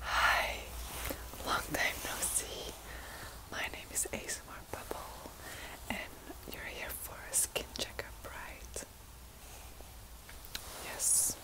Hi, long time no see. My name is ASMR Bubble, and you're here for a skin checkup, right? Yes.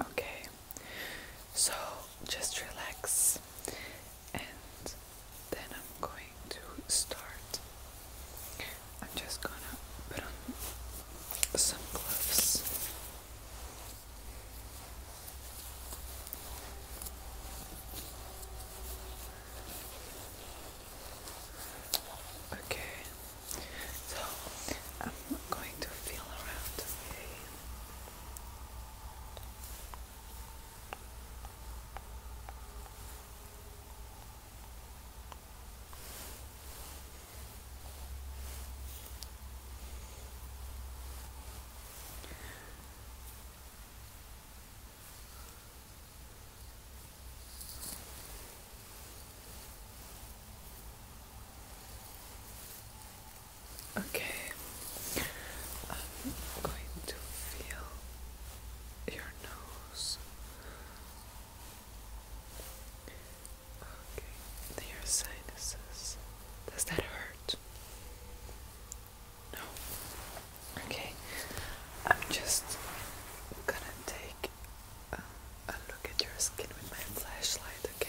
Okay, so just relax, and then I'm going to start. I'm just gonna put on some gloves. Okay, so I'm going to feel around today. Okay, I'm going to feel your nose. Okay, to sinuses. Does that hurt? No? Okay, I'm just gonna take a look at your skin with my flashlight, Okay.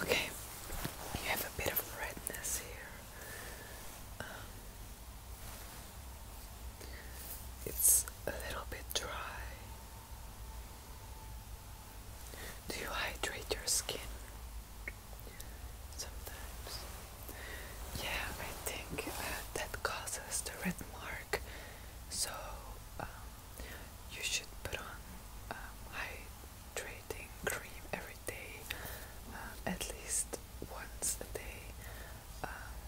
Okay, you have a bit of redness here. Um, it's a little bit dry. Do you hydrate your skin? Sometimes. Yeah, I think uh, that causes the red mark. So, um, you should put on um, hydrating cream every day, um, at least once a day, um,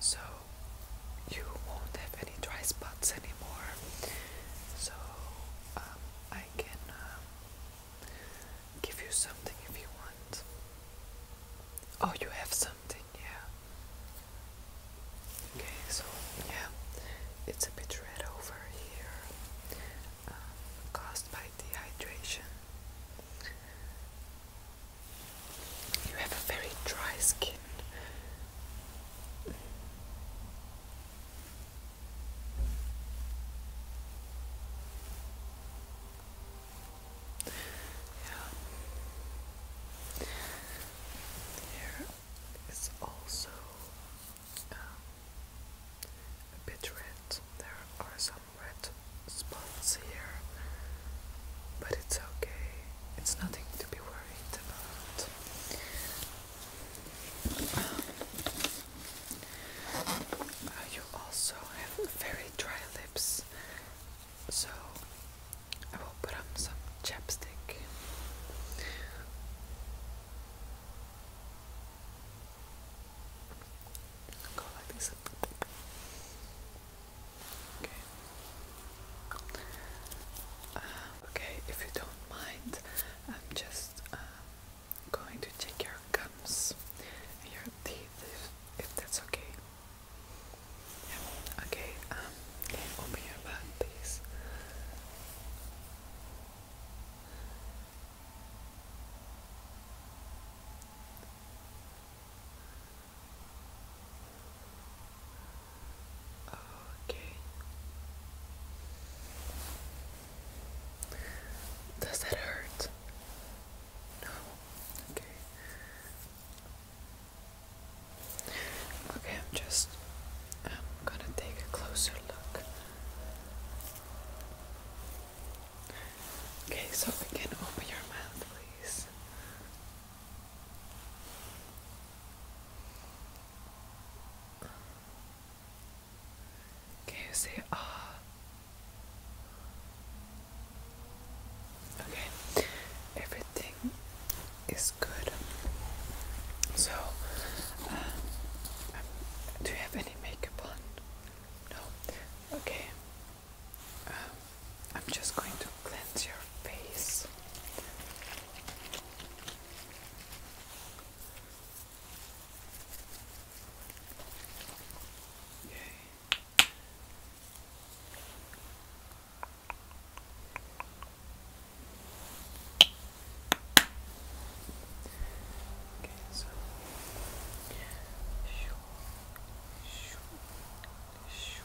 so you won't have any dry spots anymore. So I can give you something if you want. Oh, you have something yeah. Okay, so yeah, it's a bit red over here, um, caused by dehydration. You have a very dry skin. Yeah. Here it's also um, a bit red. There are some red spots here, but it's okay. It's nothing to be worried about. Um, you also have very dry lips, so I will put on some chapstick. Go like this. Okay. okay, if you don't mind, I'm just um, going to check your gums your teeth if that's okay. Yeah. Okay, um, open your bag, please? Okay. Does that hurt? No. Okay. Okay, I'm just I'm um, gonna take a closer look. Okay, so we can open your mouth please. Can you say ah? Okay, everything is good. So, um, do you have any makeup on? No? Okay. Um, I'm just going to cleanse your face. Okay. Okay, so shoo, shoo, shoo, shoo, shoo,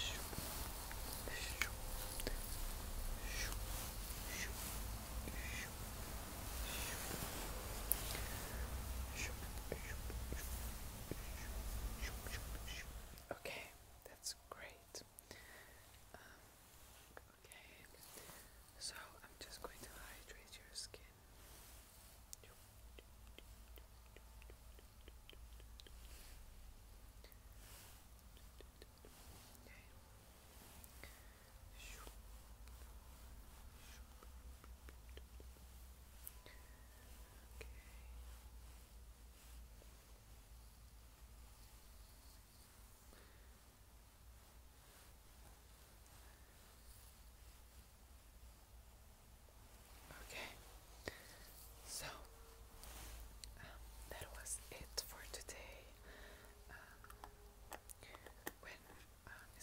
shoo, shoo, shoo. Okay, that's great. Um, okay, so I'm just going to hydrate your skin. Okay. Okay, so um, that was it for today. Um, um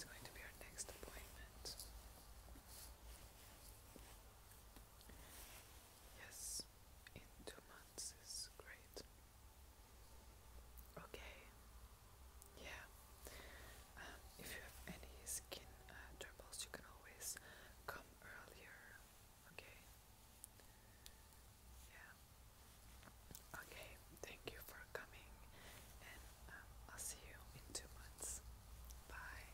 going to be our next appointment? Yes, in two months is great. Okay, yeah. Um, if you have any skin uh, troubles, you can always come earlier. Okay. Yeah. Okay, thank you for coming, and um, I'll see you in two months. Bye.